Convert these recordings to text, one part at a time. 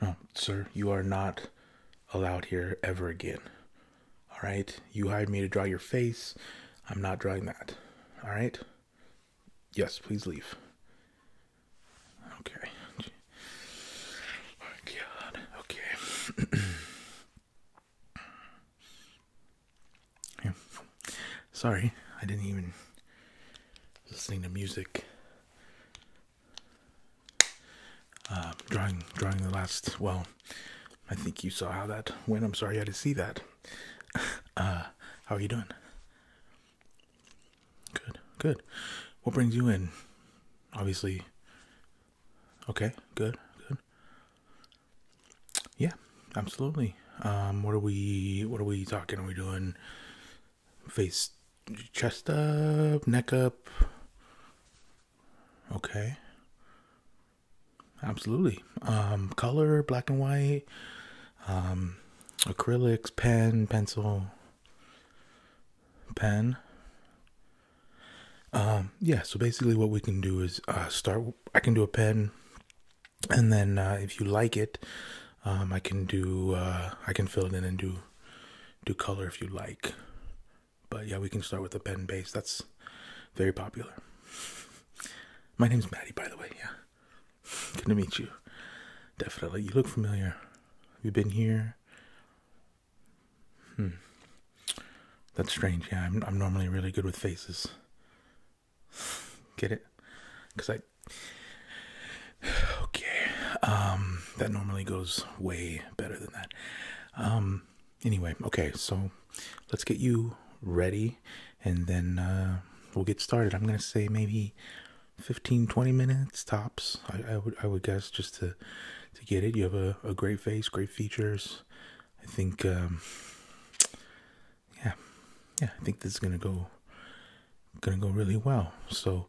No, sir, you are not allowed here ever again. All right? You hired me to draw your face. I'm not drawing that. All right? Yes, please leave. Okay. Oh, God. Okay. Sorry, I didn't even listening to music. Uh, drawing, drawing the last. Well, I think you saw how that went. I'm sorry I had to see that. Uh, how are you doing? Good, good. What brings you in? Obviously, Okay, good, good. Yeah, absolutely. Um, what are we? What are we talking? Are we doing face, chest up, neck up? Okay. Absolutely. Um, color, black and white, um, acrylics, pen, pencil pen. Um, yeah, so basically what we can do is uh, start, I can do a pen, and then uh, if you like it, um, I can do, uh, I can fill it in and do, do color if you like. But yeah, we can start with a pen base. That's very popular. My name's Maddie, by the way. Yeah. Good to meet you. Definitely. You look familiar. you Have been here? Hmm. That's strange. Yeah, I'm, normally really good with faces. Get it? Because I. Okay. Um, that normally goes way better than that. Um, anyway, okay, so let's get you ready and then uh, we'll get started. I'm going to say maybe 15, 20 minutes tops. I, I, would, I would guess just to to get it. You have a, a great face, great features. I think, um, yeah, yeah, I think this is gonna go, gonna go really well. So,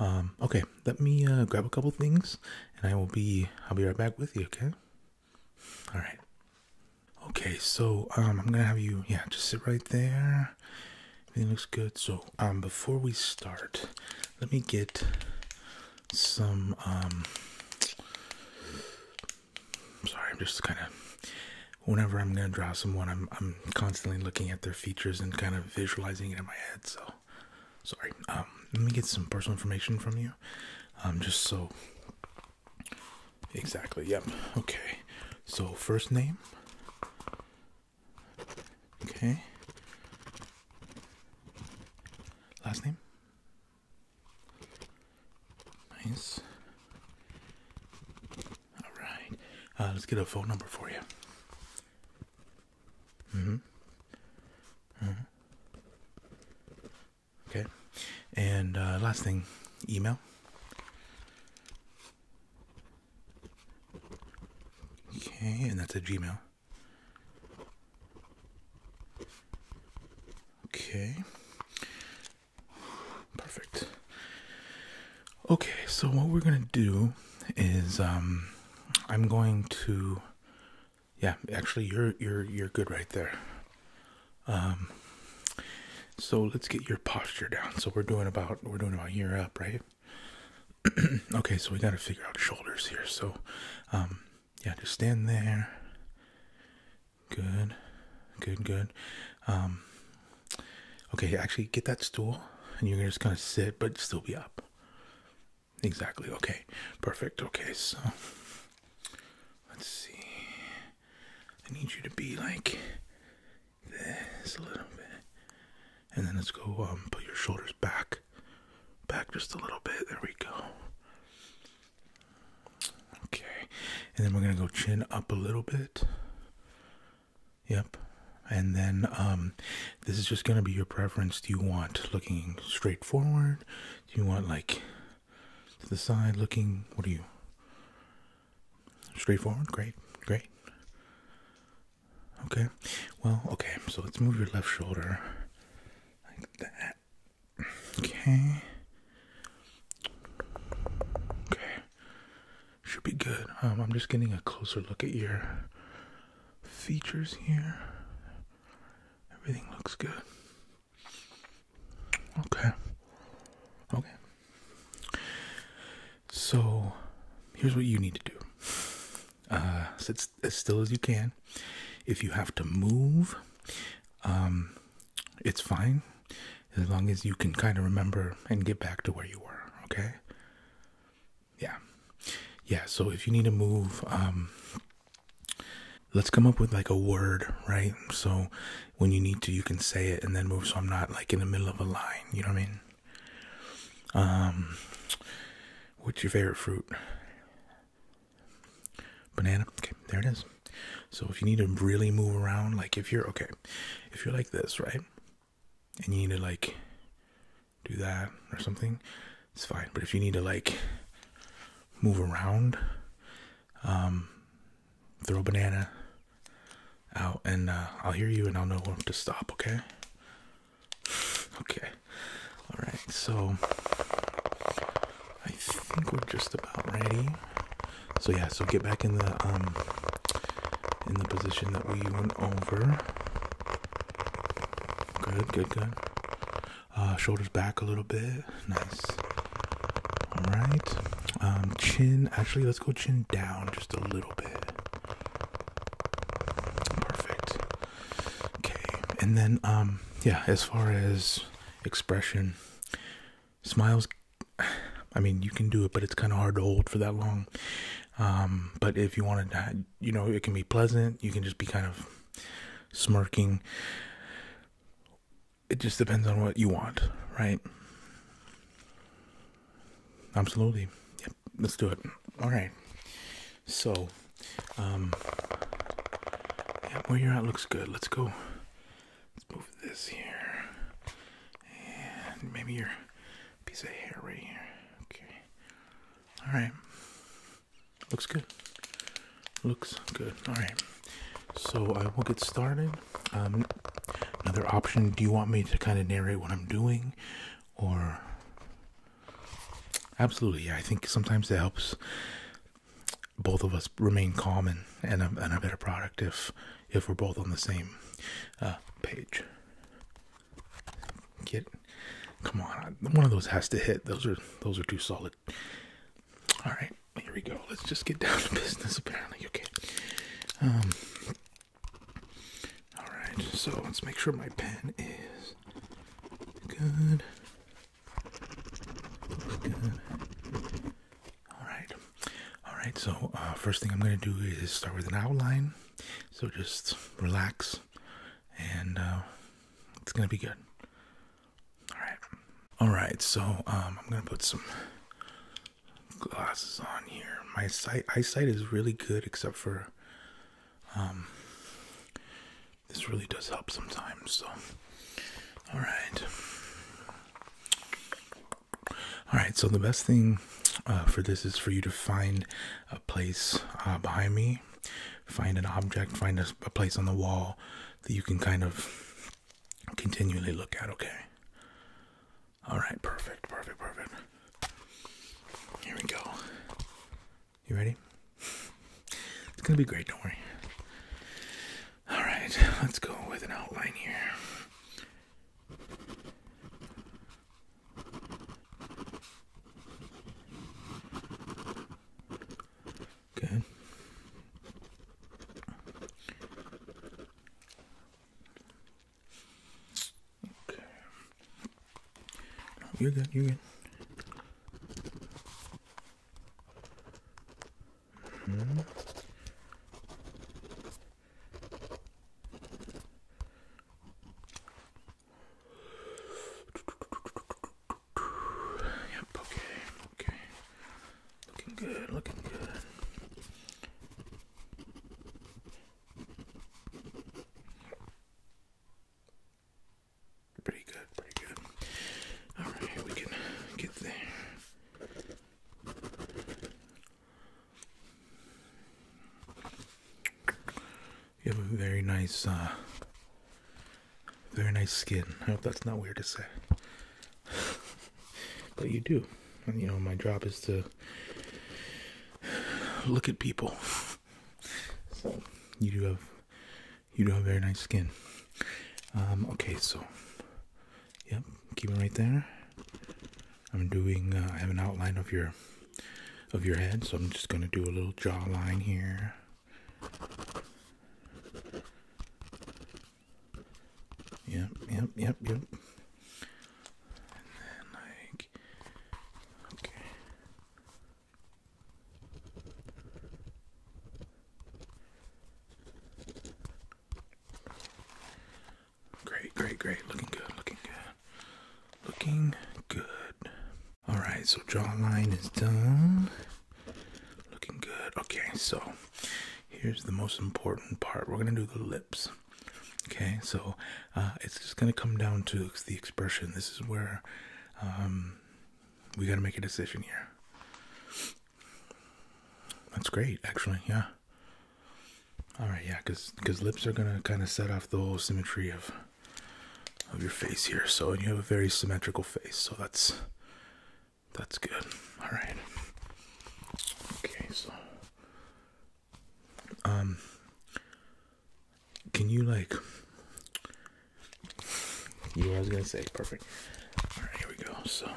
um, okay, let me uh, grab a couple things, and I will be, I'll be right back with you. Okay. All right. Okay, so um, I'm gonna have you, yeah, just sit right there. Everything looks good. So, um, before we start, let me get some um sorry i'm just kind of whenever i'm going to draw someone i'm i'm constantly looking at their features and kind of visualizing it in my head so sorry um let me get some personal information from you um just so exactly yep okay so first name okay last name Nice. All right. Uh, let's get a phone number for you. hmm hmm Okay. And uh, last thing, email. Okay, and that's a Gmail. Okay. Perfect. Okay, so what we're going to do is um, I'm going to yeah, actually you're you're you're good right there. Um so let's get your posture down. So we're doing about we're doing about ear up, right? okay, so we got to figure out shoulders here. So um yeah, just stand there. Good, good, good. Um, okay, actually, get that stool, and you're gonna just kind of sit, but still be up. Exactly. Okay, perfect. Okay, so let's see. I need you to be like this a little bit, and then let's go um, put your shoulders back Back just a little bit. There we go. Okay. And then we're going to go chin up a little bit. Yep. And then um, this is just going to be your preference. Do you want looking straight forward? Do you want like to the side looking? What are you? Straight forward. Great. Great. Okay. Well, okay. So let's move your left shoulder like that. Okay. Okay. Should be good. Um, I'm just getting a closer look at your features here. Everything looks good. Okay. Okay. So, here's what you need to do. Uh, sit as, still as you can. If you have to move, um, it's fine as long as you can kind of remember and get back to where you were. Okay. Yeah. Yeah. So if you need to move, um, let's come up with like a word, right? So when you need to, you can say it and then move. So I'm not like in the middle of a line. You know what I mean? Um, what's your favorite fruit? Banana. Okay, there it is. So if you need to really move around, like if you're okay, if you're like this, right? And you need to like do that or something, it's fine. But if you need to like move around, um, throw a banana out and uh, I'll hear you and I'll know when to stop, okay? Okay. All right, so I think we're just about ready. So yeah, so get back in the um in the position that we went over. Good, good, good. Uh, shoulders back a little bit. Nice. All right. Um, chin. Actually, let's go chin down just a little bit. Perfect. Okay, and then um yeah, as far as expression, smiles I mean, you can do it, but it's kind of hard to hold for that long. Um but if you want to you know, it can be pleasant, you can just be kind of smirking. It just depends on what you want, right? Absolutely. Yep, let's do it. All right. So, um, where you're at looks good. Let's go. Let's move this here, and maybe your piece of hair right here. Okay. All right. Looks good. Looks good. All right. So I will get started. Um, another option. Do you want me to kind of narrate what I'm doing, or? Absolutely, I think sometimes it helps both of us remain calm and a, better product if if we're both on the same uh, page. Get, come on, one of those has to hit. Those are those are too solid. All right, here we go. Let's just get down to business. Apparently, okay. Um, all right, so let's make sure my pen is good. All right. All right. So uh, first thing I'm going to do is start with an outline. So just relax, and uh, it's going to be good. All right. All right. So um, I'm going to put some glasses on here. My sight eyesight is really good, except for um, this really does help sometimes. So, all right, all right. So the best thing uh, for this is for you to find a place uh, behind me, find an object, find a, a place on the wall that you can kind of continually look at. Okay. All right. Perfect. Perfect. Perfect. Here we go. You ready? It's gonna be great, don't worry. Alright, let's go with an outline here. Good. Okay. you're good, you're good. Mm -hmm. Yep, okay, okay. Looking good, looking good. Pretty good, pretty good. Alright, we can get there. You have a very nice, uh, very nice skin. I hope that's not weird to say. but you do. And, you know, my job is to look at people. So, you do have you do have very nice skin. Um, okay, so, yep, keep it right there. I'm doing. Uh, I have an outline of your of your head, so I'm just gonna do a little jawline here. Yep, yep, yep, yep. And then like, okay. Great, great, great. Looking good, looking good. Looking good. Alright, so jawline is done. Looking good. Okay, so here's the most important part. We're going to do the lips. Okay, so uh, it's just going to come down to the expression. This is where um, we got to make a decision here. That's great, actually. Yeah. All right, yeah, because because lips are gonna kind of set off the whole symmetry of of your face here. So, you have a very symmetrical face, so that's that's good. All right. Okay, so um, can you like you yeah, I was gonna say perfect. All right, here we go. So.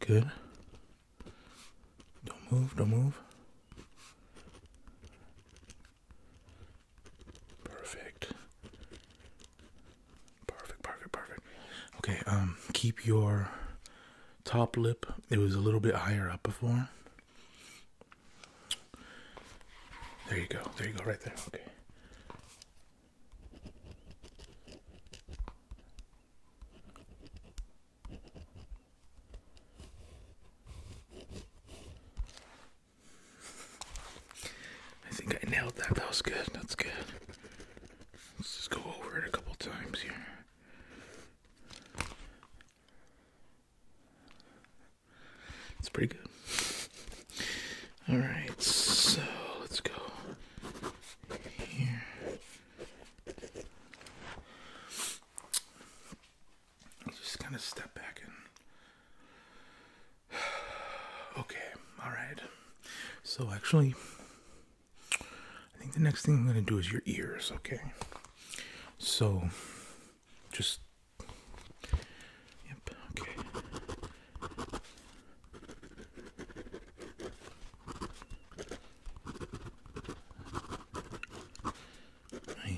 Good. Don't move, don't move. Perfect. Perfect, perfect, perfect. Okay, um keep your top lip. It was a little bit higher up before. There you go. There you go, right there. Okay. I think I nailed that. That was good. That's good. Let's just go over it a couple times here. It's pretty good. All right, so let's go here. just kind of step back and. Okay, all right. So actually, I think the next thing I'm going to do is your ears, okay? So, just. Yep, okay.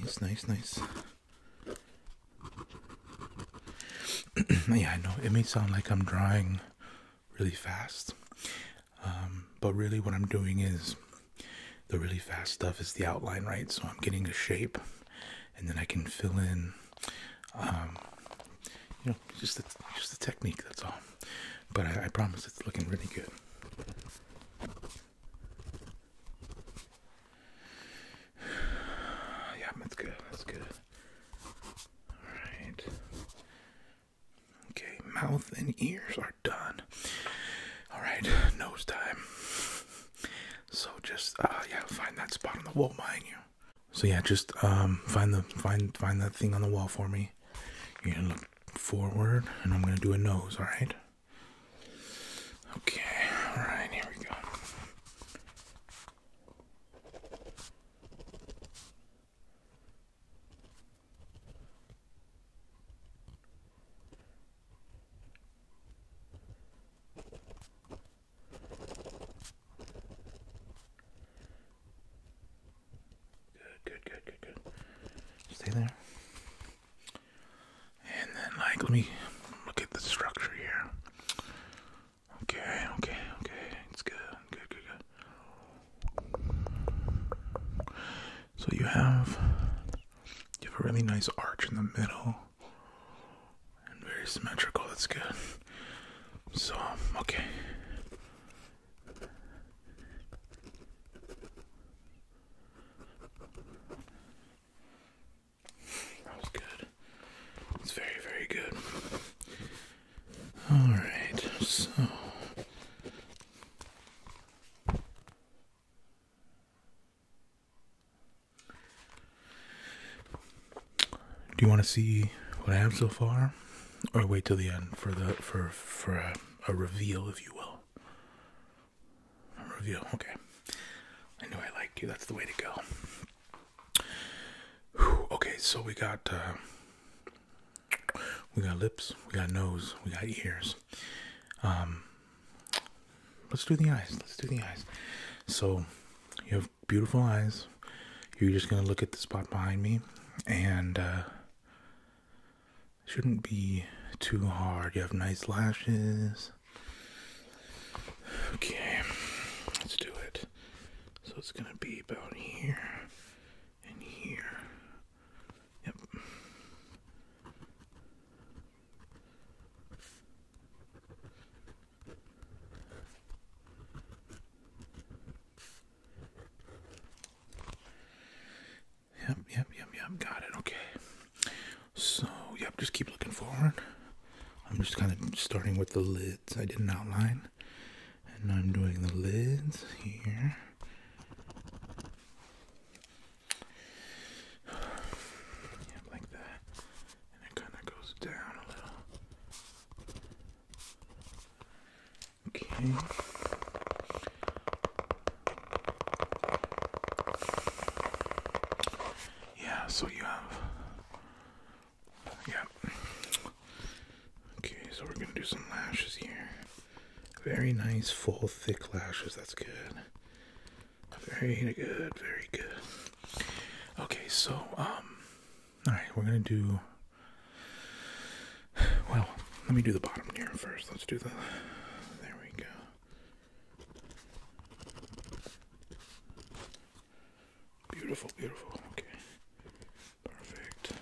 Nice, nice, nice. yeah, I know it may sound like I'm drawing really fast, um, but really, what I'm doing is the really fast stuff is the outline, right? So I'm getting a shape, and then I can fill in, um, you know, just the, just the technique. That's all. But I, I promise it's looking really good. Yeah, that's good. That's good. All right. Okay, mouth and ears are done. Alright, nose time. So just uh yeah, find that spot on the wall behind you. So yeah, just um find the find find that thing on the wall for me. You're gonna look forward and I'm gonna do a nose, alright? Okay, alright, here we go. Good, good, good, good, good. Stay there. And then, like, let me look at the structure here. Okay, okay, okay. It's good, good, good, good. So you have you have a really nice arch in the middle. And very symmetrical, that's good. So, okay. That was good. It's very, very good. Alright, so. Do you want to see what I have so far, or wait till the end for the for for a, reveal, if you will? A reveal. Okay. I knew I liked you. That's the way to go. okay, so we got uh, we got lips, we got nose, we got ears. Um, let's do the eyes. Let's do the eyes. So, you have beautiful eyes. You're just gonna look at the spot behind me, and uh, shouldn't be too hard. You have nice lashes. Okay, let's do it. So it's gonna be about here and here Yep. Yep, yep, yep, Got it. Okay. So, yep, just keep looking forward. I'm just kind of starting with the lids. I did not outline. And I'm doing the lids here yeah, like that, and it kind of goes down a little. Okay. Yeah, so you have. Yeah. Okay, so we're gonna do some lashes here. Very nice, full, thick lashes. That's good. Very good. Very good. Okay, so, um, all right, we're going to do. Well, let me do the bottom here first. Let's do the. There we go. Beautiful, beautiful. Okay. Perfect.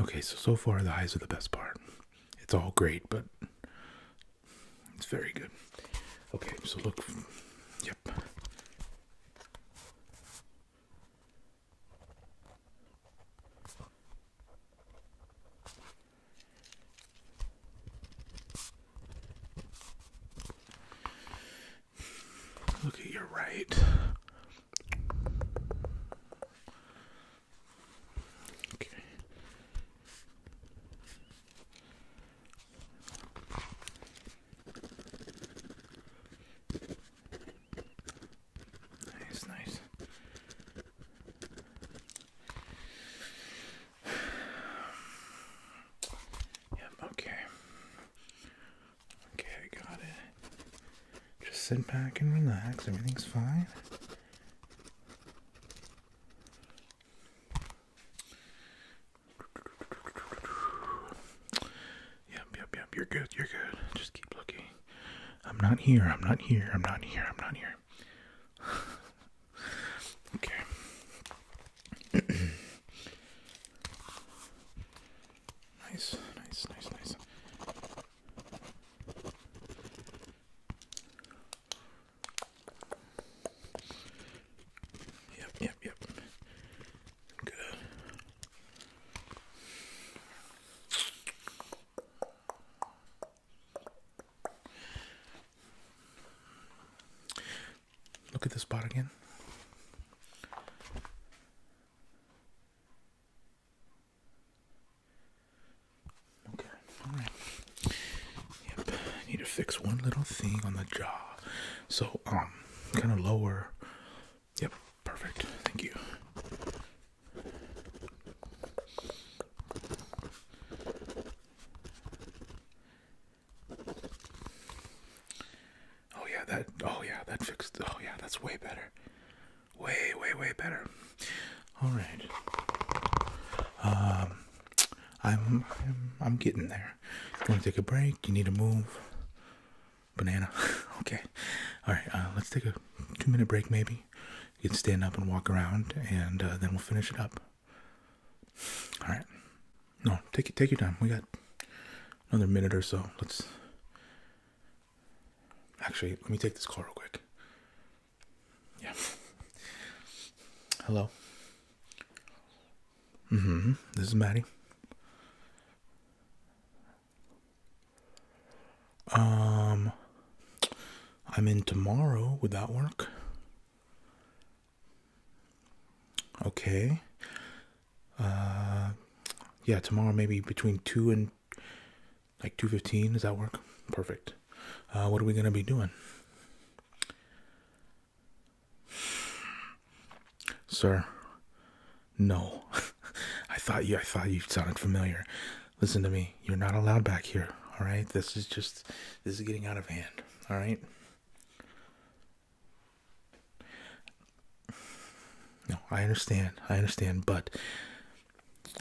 Okay, so so far the eyes are the best part it's all great, but it's very good. Okay, so look, yep. Look at your right. Okay. Nice, nice. Yep, okay. Okay, I got it. Just sit back and relax, everything's fine. Yep, yep, yep. You're good. You're good. Just keep looking. I'm not here. I'm not here. I'm not here. I'm not here. okay. nice, nice, nice, nice. Yep, yep, yep. Good. Look at this spot again. Okay, alright. Yep, I need to fix one little thing on the jaw. So, um, kind of lower. Yep, perfect. Thank you. Oh yeah, that oh yeah, that fixed. Oh yeah, that's way better way, way, way better. All right. Um, I'm, I'm, I'm getting there. Going to take a break? You need to move. Banana. okay. All right. Uh, let's take a two-minute break, maybe. You can stand up and walk around, and uh, then we'll finish it up. All right. No, take it. take your time. We got another minute or so. Let's actually let me take this call real quick. Yeah. Hello. Mm-hmm. This is Maddie. Um I'm in tomorrow, would that work? Okay. Uh yeah, tomorrow maybe between two and like 2.15 does that work perfect uh, what are we going to be doing sir no i thought you i thought you sounded familiar listen to me you're not allowed back here all right this is just this is getting out of hand all right no i understand i understand but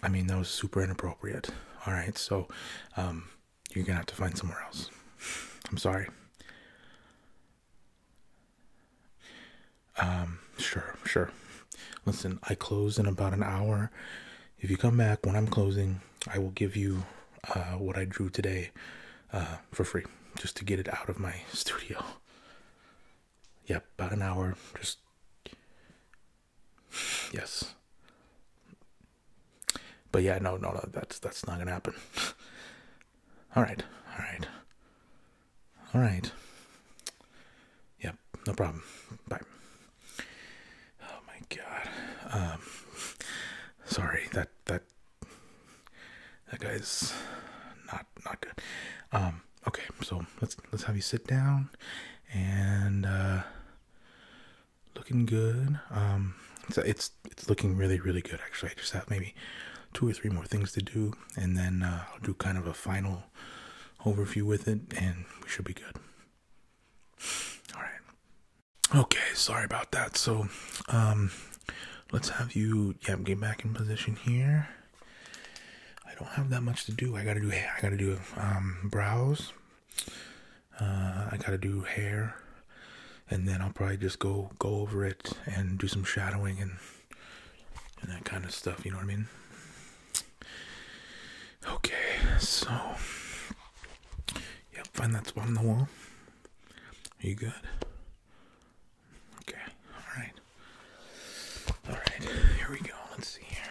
I mean, that was super inappropriate. All right, so um, you're gonna have to find somewhere else. I'm sorry. Um, sure, sure. Listen, I close in about an hour. If you come back when I'm closing, I will give you uh, what I drew today uh, for free, just to get it out of my studio. Yep, about an hour. Just Yes. But yeah, no, no, no that's that's not gonna happen. all right, all right, all right. Yep, no problem. Bye. Oh my god. Um, sorry that that that guy's not not good. Um, okay, so let's let's have you sit down and. uh looking good. Um, it's it's looking really really good actually. I just have maybe two or three more things to do, and then uh, I'll do kind of a final overview with it, and we should be good. All right. Okay, sorry about that. So, um, let's have you yeah get back in position here. I don't have that much to do. I gotta do I gotta do um brows, uh, I gotta do hair, and then I'll probably just go go over it and do some shadowing and and that kind of stuff. You know what I mean? Okay, so yep, find that spot on the wall. Are you good? Okay, all right, all right. Here we go. Let's see here.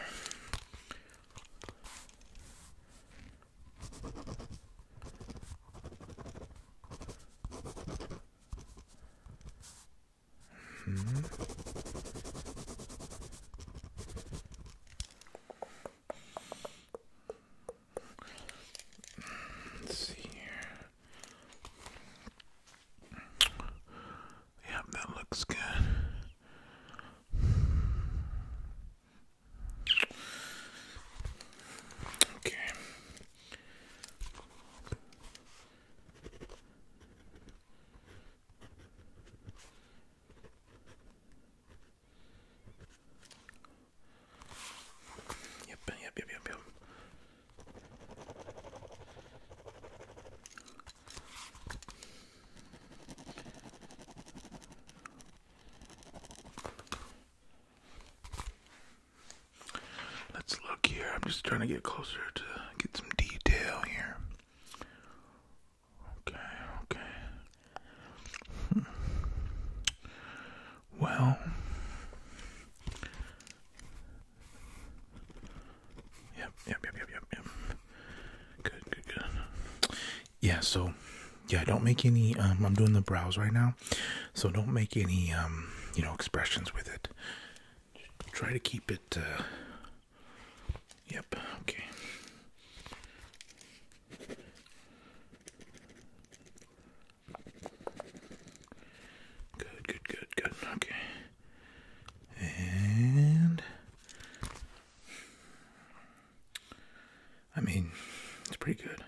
Mm -hmm. Let's see here. Yep, that looks good. Okay. Yep, yep, yep, yep, Let's look here. I'm just trying to get closer to get some detail here. Okay, okay. Hmm. Well, yep, yep, yep, yep, yep, yep. Good, good, good. Yeah, so yeah, don't make any um, I'm doing the brows right now. So don't make any um, you know, expressions with it. Just try to keep it uh, Yep, okay. Good, good, good, good. Okay. And I mean, it's pretty good.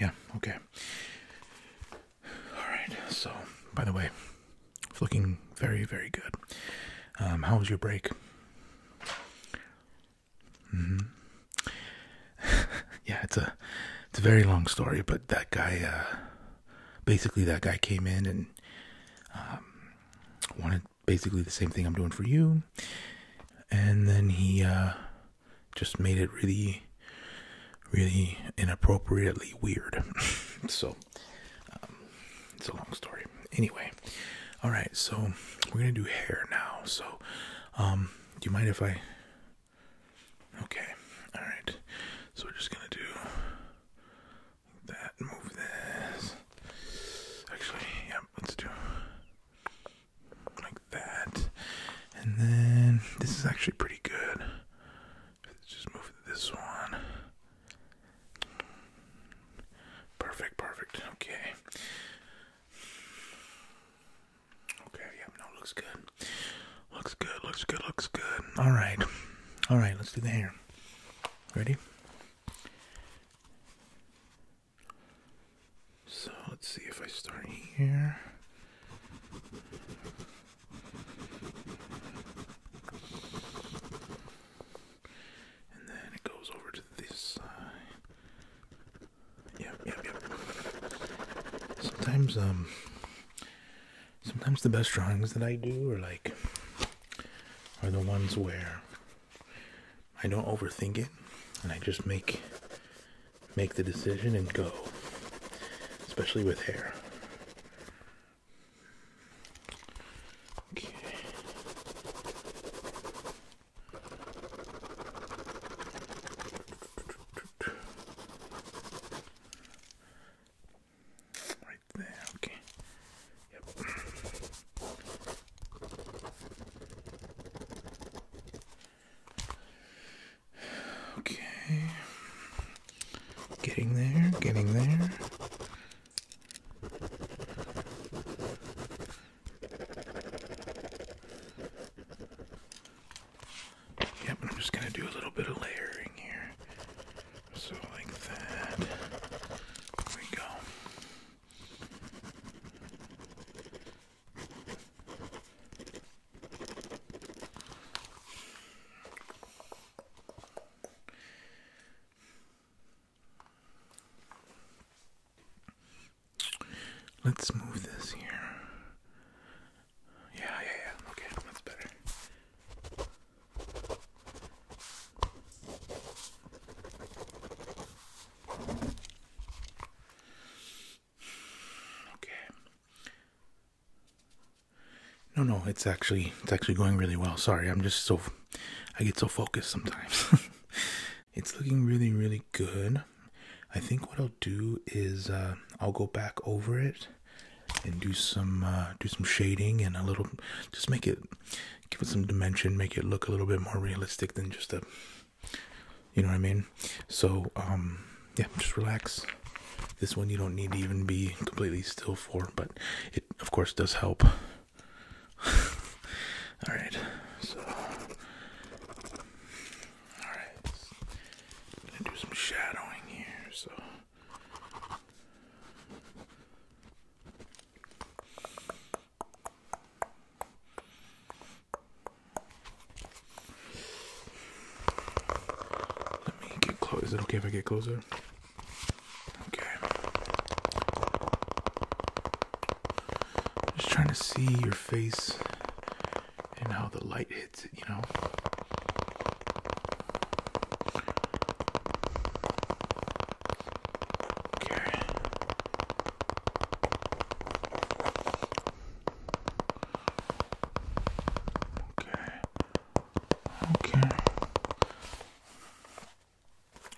Yeah, okay. Alright, so, by the way, it's looking very, very good. Um, how was your break? Mm-hmm. yeah, it's a, it's a very long story, but that guy, uh, basically that guy came in and um, wanted basically the same thing I'm doing for you, and then he uh, just made it really, really inappropriately weird. so um, it's a long story. Anyway, all right. So we're gonna do hair now. So um, do you mind if I? Okay. All right. So we're just gonna do that, move this. Actually, yeah, let's do like that. And then this is actually pretty good. Let's just move this one. Perfect, perfect. Okay. Okay, yeah, no, looks good. Looks good, looks good, looks good. Alright. Alright, let's do the hair. Ready? So let's see if I start here. And then it goes over to this side. Yep, yep, yep. Sometimes, um, sometimes the best drawings that I do are like are the ones where I don't overthink it and I just make make the decision and go especially with hair right there. Okay. Yep. Okay. Getting there, getting there. Yep, I'm just going to do a little bit of layering here. So like that. There we go. Let's move this here. Yeah, yeah, yeah. Okay, that's better. Okay. No, no, it's actually it's actually going really well. Sorry, I'm just so I get so focused sometimes. it's looking really, really good. I think what I'll do is uh, I'll go back over it and do some uh, do some shading and a little just make it give it some dimension, make it look a little bit more realistic than just a you know what I mean? So, um, yeah, just relax. This one you don't need to even be completely still for, but it of course does help. all right, alright I'm gonna do some shadowing here. So let me get close. Is it okay if I get closer? Okay. Just trying to see your face and how the light hits it, you know? Okay. Okay. Okay.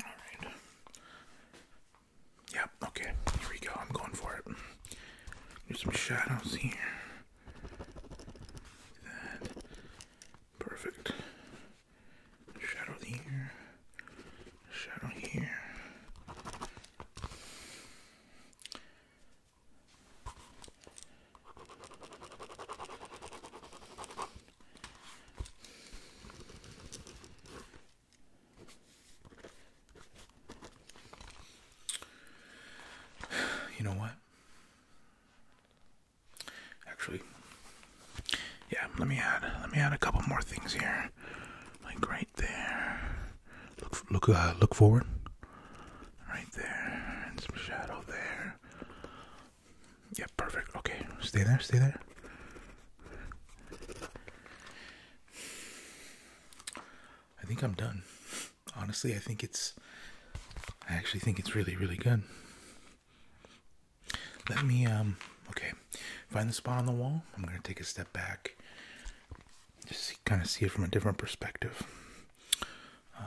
Alright. Yep, okay. Here we go. I'm going for it. There's some shadows here. That. Perfect shadow here, shadow here. You know what? Actually, yeah, let me add let me add a couple more things here. Like right there. Look look uh, look forward. Right there. some shadow there. Yeah, perfect. Okay. Stay there, stay there. I think I'm done. Honestly, I think it's I actually think it's really, really good. Let me, um, okay, find the spot on the wall. I'm going to take a step back. Just kind of see it from a different perspective. Um,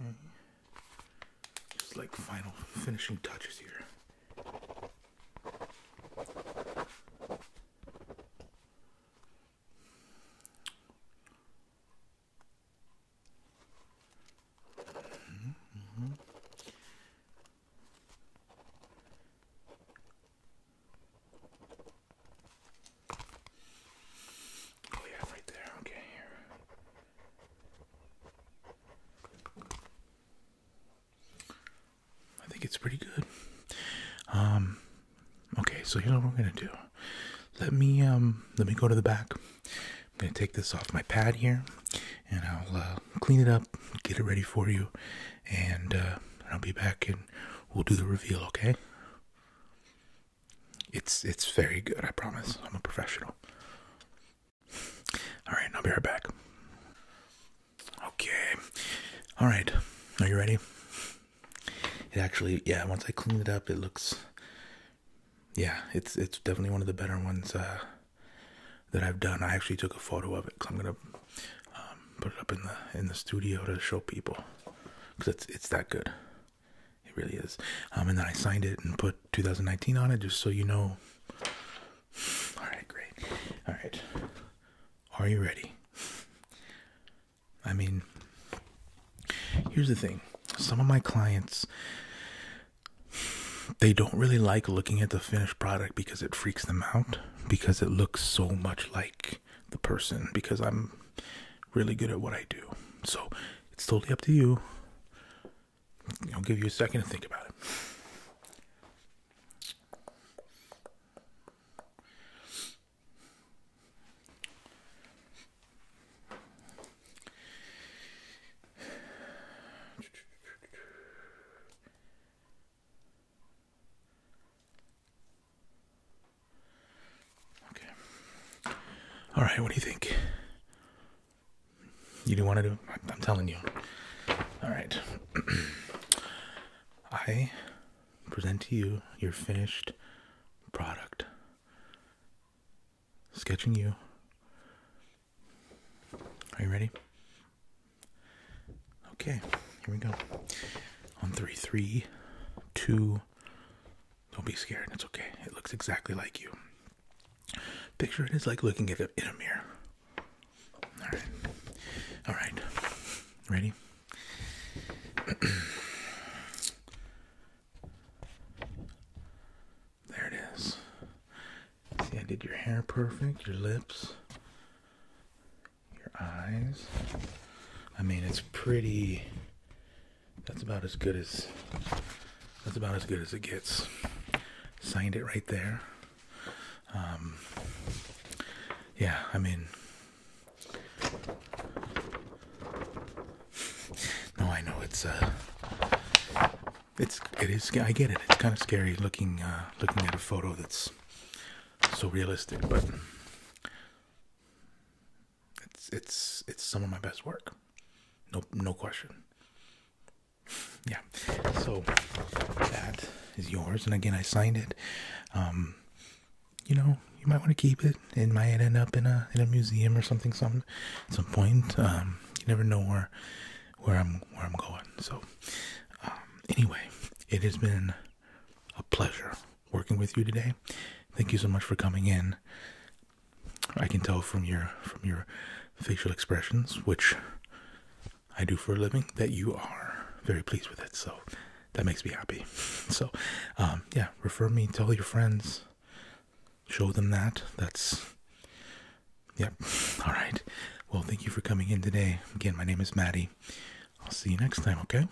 okay. Just like final finishing touches here. Oh yeah, right there. Okay, here. I think it's pretty good. Um, Okay, so here's what we're gonna do. Let me um let me go to the back. I'm gonna take this off my pad here, and I'll uh, clean it up, get it ready for you, uh, and I'll be back and we'll do the reveal. Okay? It's it's very good. I promise. I'm a professional. All right, I'll be right back. Okay. All right. Are you ready? it actually yeah once i clean it up it looks yeah it's it's definitely one of the better ones uh that i've done i actually took a photo of it because i'm gonna um, put it up in the in the studio to show people because it's it's that good it really is um, and then i signed it and put 2019 on it just so you know all right great all right are you ready I mean, here's the thing some of my clients they don't really like looking at the finished product because it freaks them out because it looks so much like the person because I'm really good at what I do. So it's totally up to you. I'll give you a second to think about it. Okay. All right, what do you think? You do want to do I'm telling you. All right. I present to you your finished product sketching you. Are you ready? Okay, here we go. On three, three, two. Don't be scared. It's okay. It looks exactly like you. Picture it is like looking at it in a mirror. All right. All right. Ready? There it is. See, I did your hair perfect, your lips, your eyes. I mean, it's pretty. That's about as good as. That's about as good as it gets. Signed it right there. Um, yeah, I mean, no, I know it's uh, it's it is. I get it. It's kind of scary looking uh, looking at a photo that's so realistic, but it's it's it's some of my best work. No, no question. Yeah. So that is yours, and again, I signed it. Um, you know, you might want to keep it. It might end up in a in a museum or something, some at some point. Um, you never know where where I'm where I'm going. So, um, anyway, it has been a pleasure working with you today. Thank you so much for coming in. I can tell from your from your facial expressions, which I do for a living, that you are very pleased with it. So, that makes me happy. So, um, yeah, refer me, tell your friends, show them that. That's, yep. All right. Well, thank you for coming in today. Again, my name is Maddie. I'll see you next time, okay?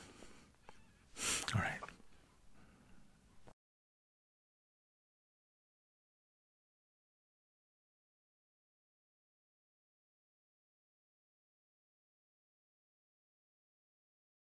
All right.